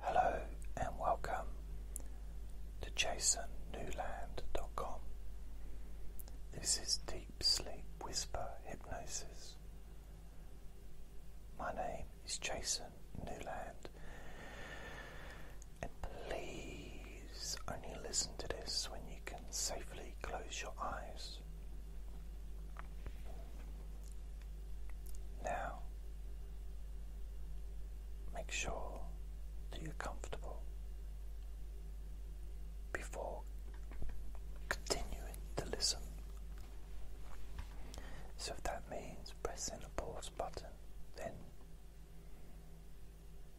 Hello and welcome to jasonnewland.com. This is Deep Sleep Whisper Hypnosis. My name is Jason Newland, and please only listen to this when you can safely close your eyes. Now, make sure that you're comfortable before continuing to listen. So, if that means pressing the pause button, then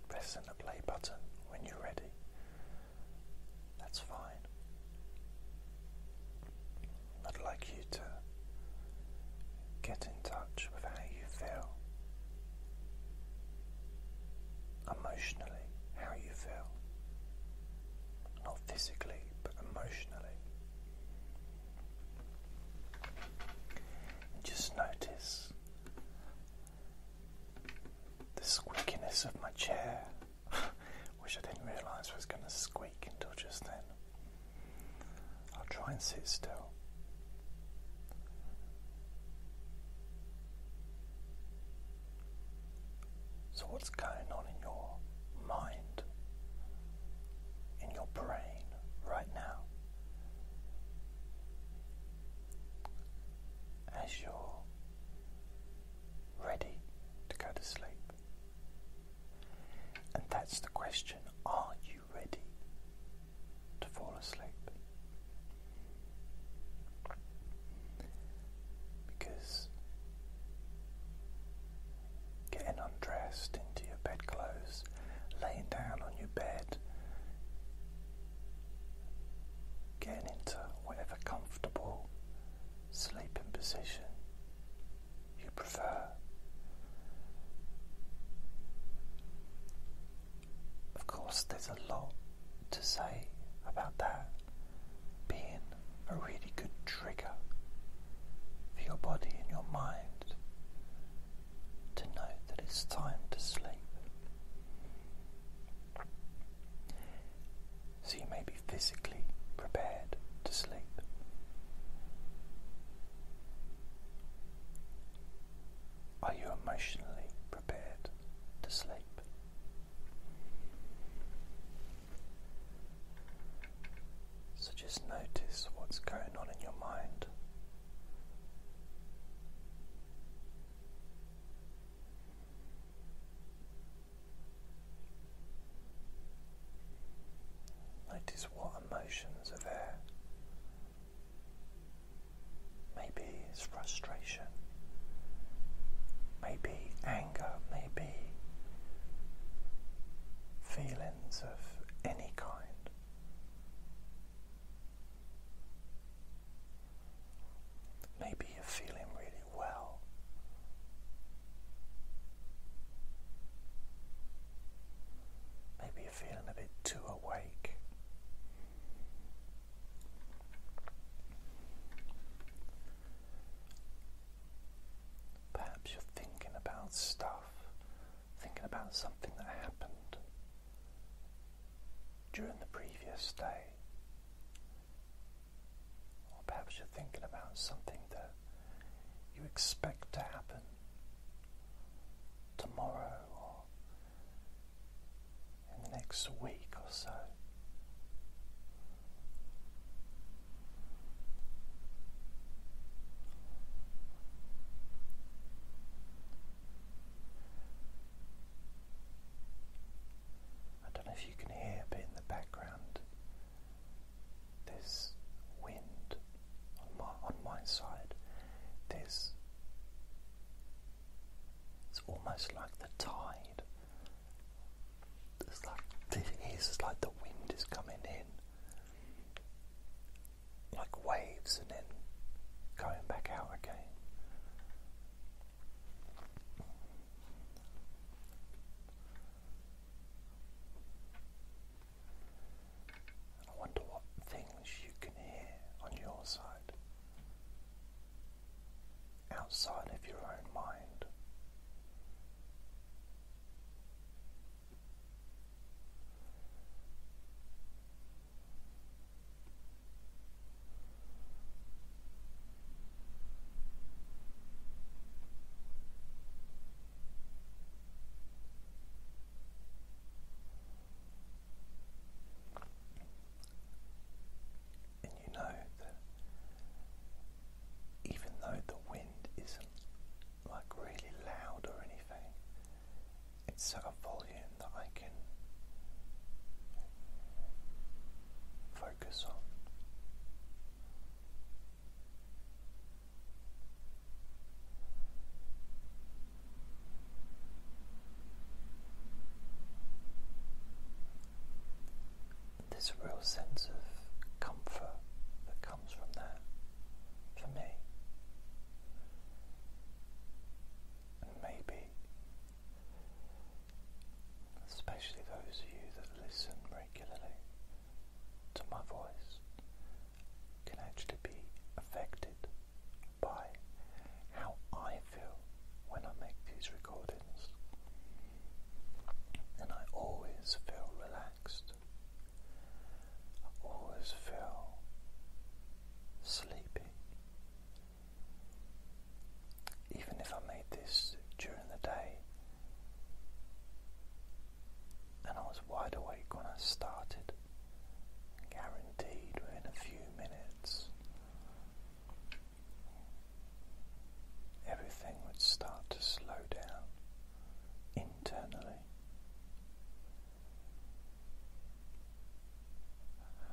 pressing the play button when you're ready, that's fine. I'd like you to get in touch with how you feel emotionally, how you feel. Not physically, but emotionally. And just notice the squeakiness of my chair, which I didn't realise was going to squeak until just then. I'll try and sit still. So, what's going on in your mind, in your brain right now? As you're ready to go to sleep. And that's the question are you ready to fall asleep? Because getting undressed into your bed clothes, laying down on your bed, getting into whatever comfortable sleeping position you prefer. Of course, there's a lot to say about that being a really good trigger for your body and your mind to know that it's time to sleep so you may be physically prepared to sleep. Are you emotionally prepared to sleep? So just notice what's going on in your mind. Notice what emotions are there. Maybe it's frustration, maybe anger, maybe feelings of any kind. Maybe you're feeling really well Maybe you're feeling a bit too awake. Perhaps you're thinking about stuff, thinking about something that happened during the previous day. Or perhaps you're thinking about something that you expect to happen tomorrow or in the next week or so. I don't know if you can hear, but in the background, this wind on my on my side. This it's almost like the tide. It's like it is like the wind is coming in, like waves, and then going back out again. I wonder what things you can hear on your side, outside of your own mind. And you know that even though the wind isn't like really loud or anything, it's at a volume that I can focus on. There's a real sense of comfort that comes from that for me. And maybe especially those of you that listen regularly to my voice, can actually be affected by how I feel when I make these recordings. And I always feel relaxed, I always feel sleepy even if I made this during the day. And I was wide awake when I started, guaranteed within a few minutes everything would start to slow down internally.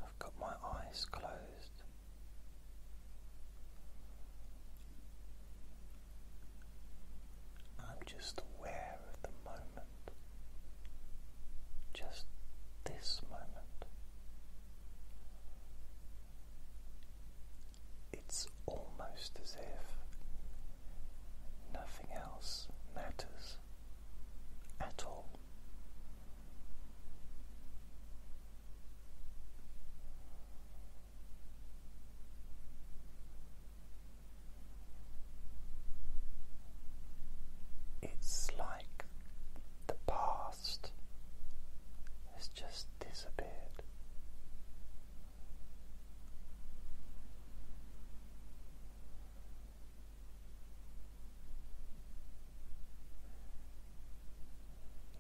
I've got my eyes closed. I'm just aware of the moment, just this moment. It's almost as if nothing else matters at all. It's like the past has just disappeared.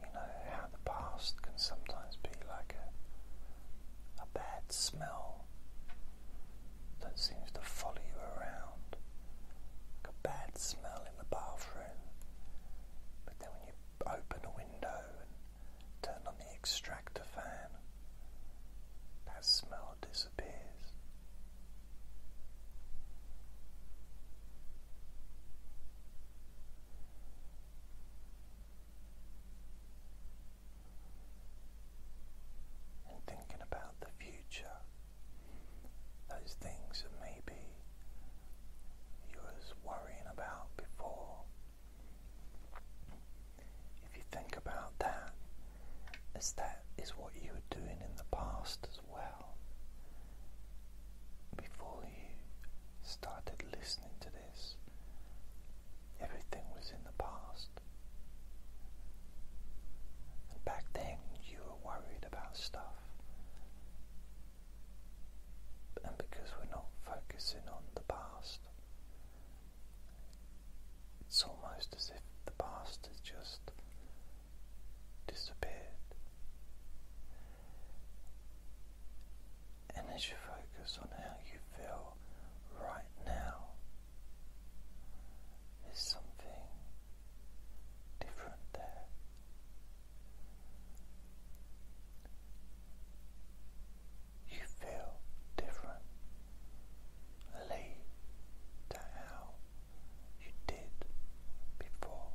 You know how the past can sometimes be like a, a bad smell that seems to follow you around, like a bad smell in the bathroom. But then when you open a window and turn on the extractor fan, that smell disappears. And thinking about the future, those things that maybe you were worrying about before. If you think about that, as that is what you were doing in the past well before you started listening to this. Everything was in the past. And back then you were worried about stuff. And because we're not focusing on the past, it's almost as if the past is just disappeared. And as you focus on how you feel right now, there's something different there. You feel different. Lead you did before.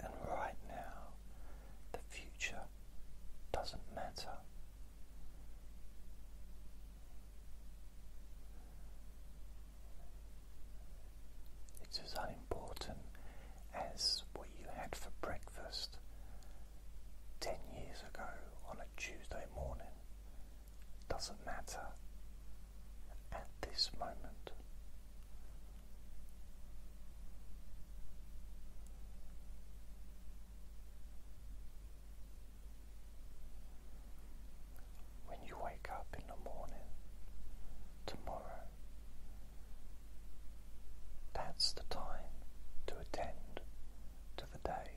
And right now, the future doesn't matter. It's as unimportant as what you had for breakfast 10 years ago on a Tuesday morning doesn't matter at this moment. When you wake up in the morning tomorrow, that's the time to attend to the day.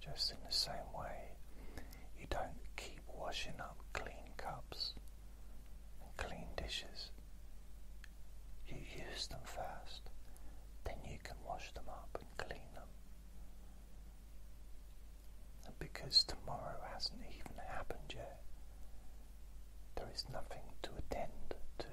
Just in the same way, you don't keep washing up clean cups and clean dishes. You use them first, then you can wash them up and clean them because tomorrow hasn't even happened yet, there is nothing to attend to.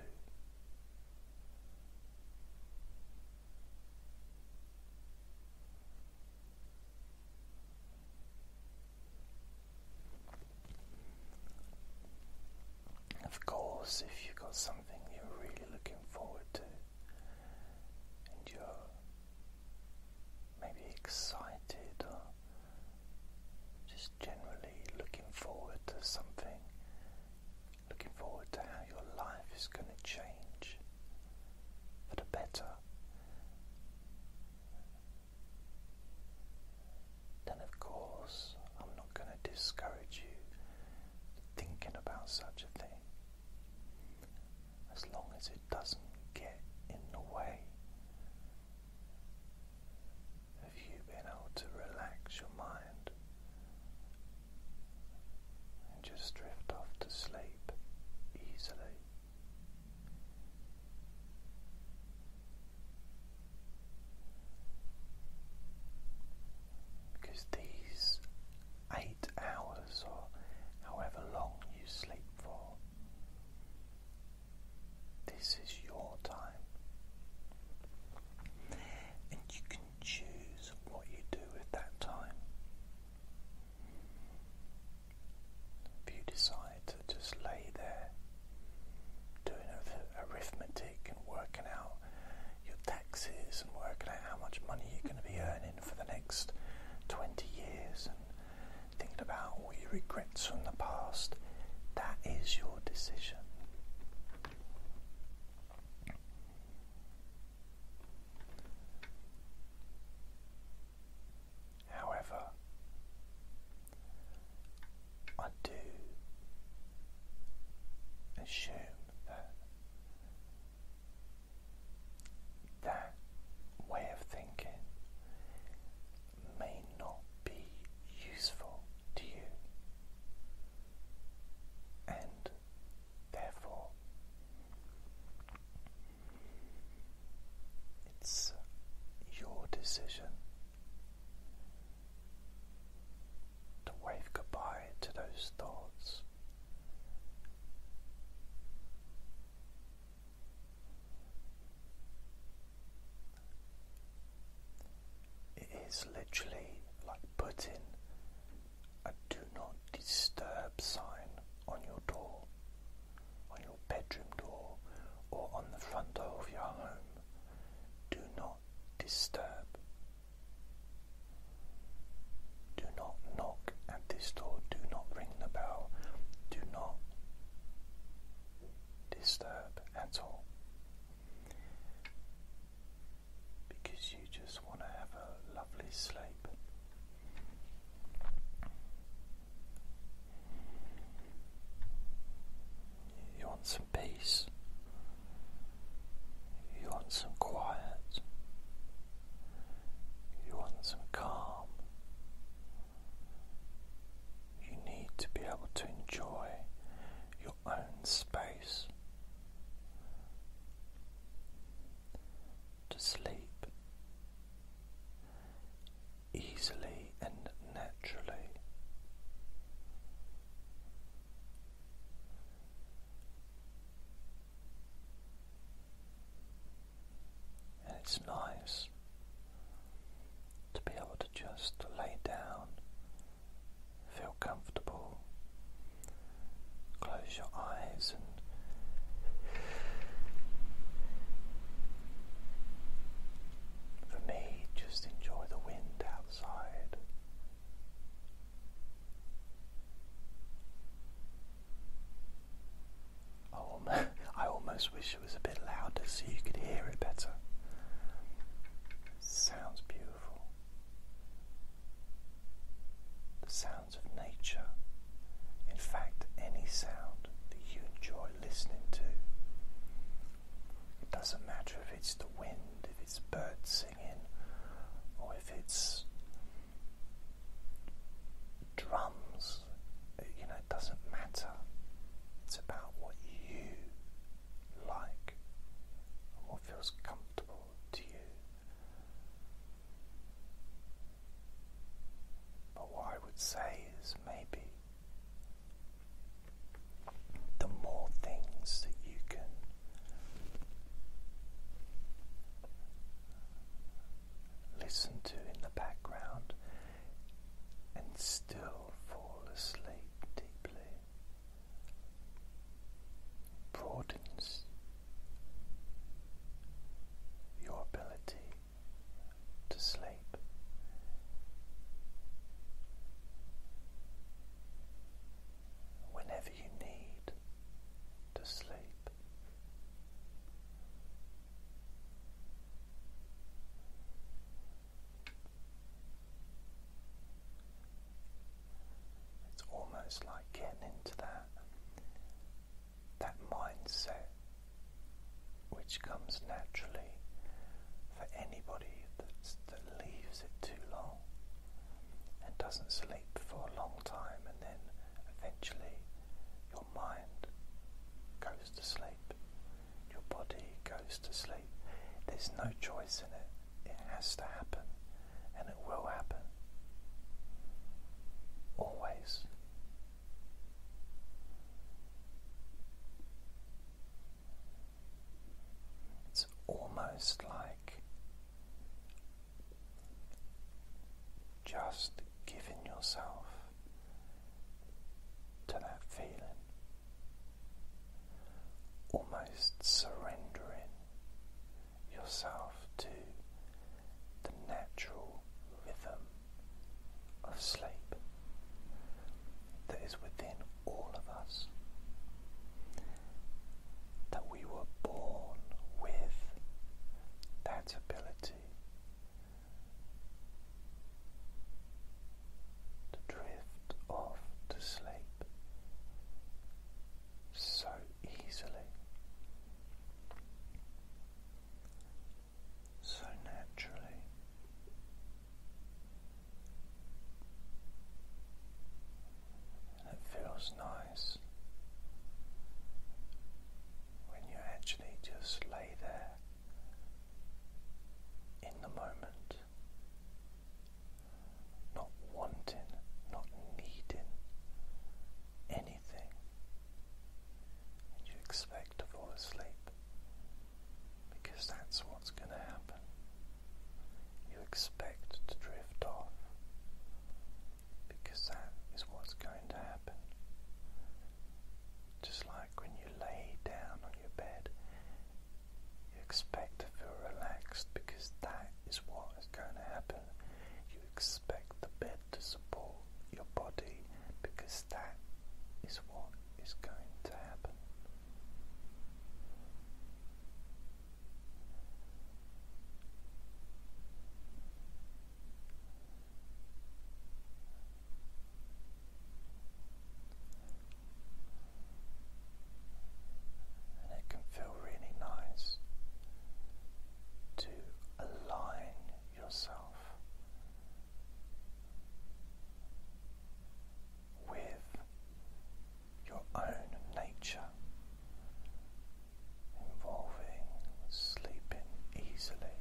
Of course, if you've got something you're really looking forward to and you're maybe excited or just generally looking forward to something, looking forward to how your life is going to change for the better, then of course I'm not going to discourage you thinking about such a thing as long as it doesn't get in the way of you being able to relax your mind and just drift off to sleep easily. Because these eight hours or however long you sleep for. This is your time. And you can choose what you do with that time. If you decide to just lay there doing arithmetic and working out your taxes and working out how much money you're going to be earning for the next 20 years and thinking about all your regrets from the past, that is your decision. However, I do assume that that way of thinking may not be useful to you, and therefore it's your decision. To wave goodbye to those thoughts it is literally like putting a do not disturb sign on your door, on your bedroom door, or on the front door of your home. Do not disturb. Do not knock at this door, do not ring the bell, do not disturb at all. Because you just want to have a lovely sleep. You want some peace. You want some quiet. You want some calm. You need to be able to enjoy your own space. To sleep easily and naturally. And it's nice to be able to just lay down, feel comfortable, close your eyes and for me, just enjoy the wind outside I almost wish it was a bit louder so you could hear it better. Sounds beautiful. The sounds of nature. In fact, any sound that you enjoy listening to. It doesn't matter if it's the wind, if it's birds or if it's drums, you know, it doesn't matter. It's about what you like and what feels comfortable to you. But what I would say is maybe the more things that you can listen to in the background and still fall asleep deeply broadens your ability to sleep. Whenever you need to sleep. It's almost like getting into that that mindset which comes naturally for anybody that leaves it too long and doesn't sleep for a long time, and then eventually your mind goes to sleep, your body goes to sleep. There's no choice in it, it has to happen, and it will happen. Always. It's almost like just giving yourself to that feeling, almost surrendering yourself to the natural rhythm of sleep that is within all of us that we were born with that ability to drift off to sleep so easily, so naturally. It feels nice when you actually just lay there in the moment, not wanting, not needing anything, and you expect to fall asleep because that's what's going to happen you expect to drift off because that is what's going to happen. Just like when you lay down on your bed, you expect to feel relaxed because that is what is going to happen. You expect the bed to support your body because that is what is going to happen. And it can feel really nice to align yourself with your own nature involving sleeping easily.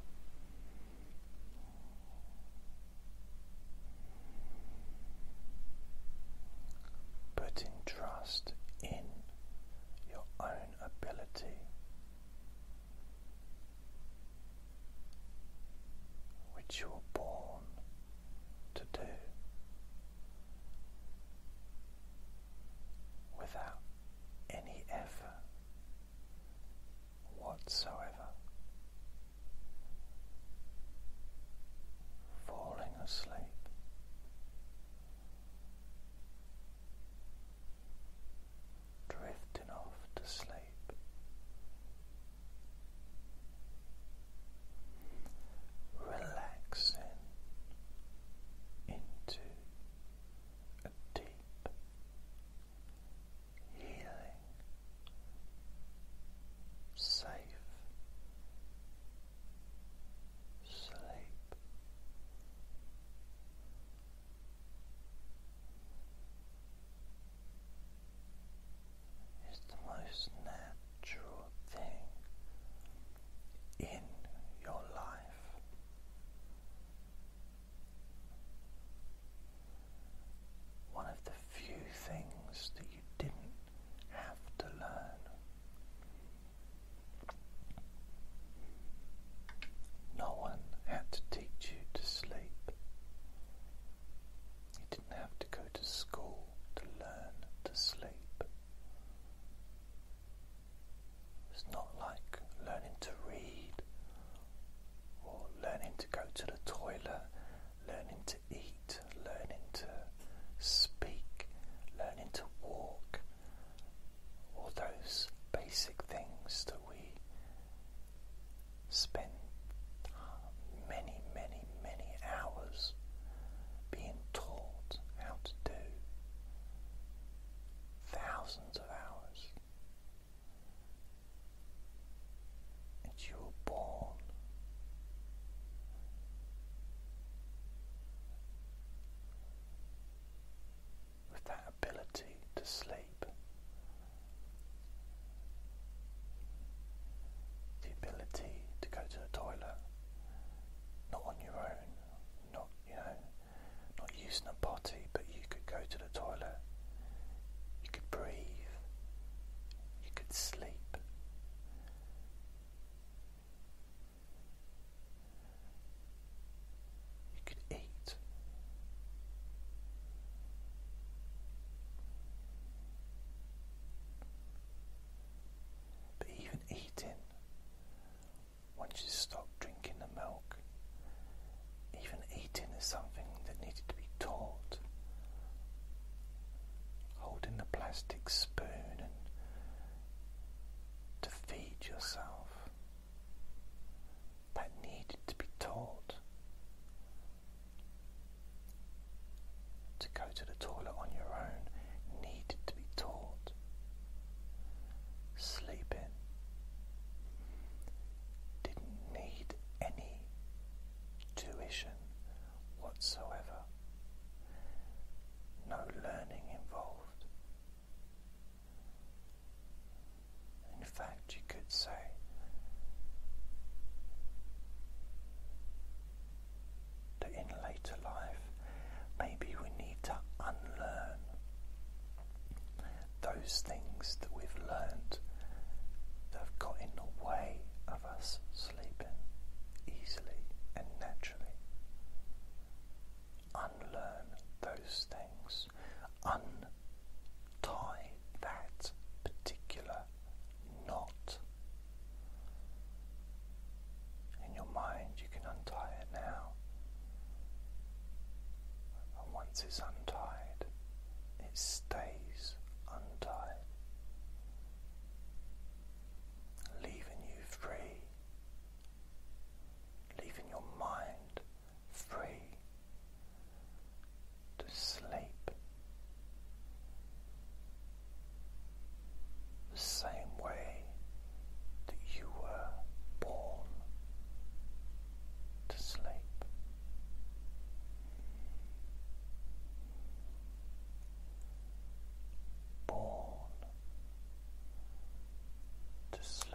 Putting trust in your own ability, which you were born to do without any effort whatsoever. Falling asleep. Drifting off to sleep relaxing into a deep healing, safe sleep is the most natural thing in your life. One of the few things that you didn't have to learn. No one had to teach you to sleep. You didn't have to go to school to learn to sleep. It's not like learning to read or learning to go to the toilet, learning to eat, learning to speak, learning to walk, all those basic things that we spend uh, many, many, many hours being taught how to do thousands of hours. And you were born with that ability to sleep the ability to go to the toilet, not on your own, not you know, not using a potty, but you could go to the toilet, you could breathe, you could sleep. You could eat. But even eating, once you stop drinking the milk, even eating is something that needed to be taught. Holding the plastic spoon and to feed yourself. That needed to be taught. To go to the toilet on your own needed to be taught. Sleeping didn't need any tuition whatsoever, no learning involved. In fact, you could say that in later life, maybe we need to unlearn those things that we've learned that have got in the way of us sleeping easily and naturally. Unlearn those things, untie that particular knot. In your mind, you can untie it now. And once it's untied, it stays untied, leaving you free, leaving your mind free to sleep the same way that you were born to sleep. Born to sleep,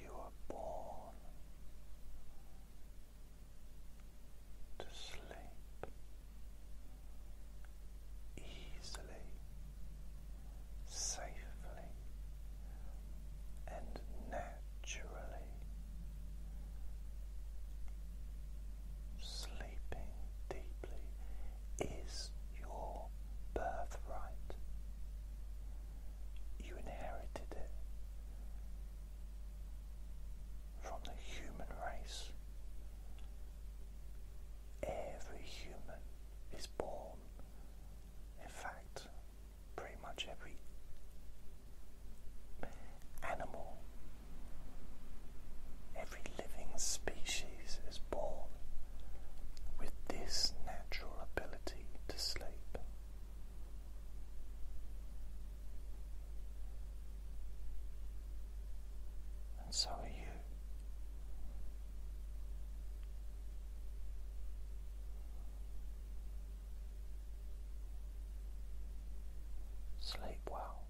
you are born to sleep easily, safely, and naturally. Sleeping deeply is your birthright. You inherited it from the human race. Every human is born, in fact, pretty much every animal, every living species is born with this natural ability to sleep. And so are you. Sleep well.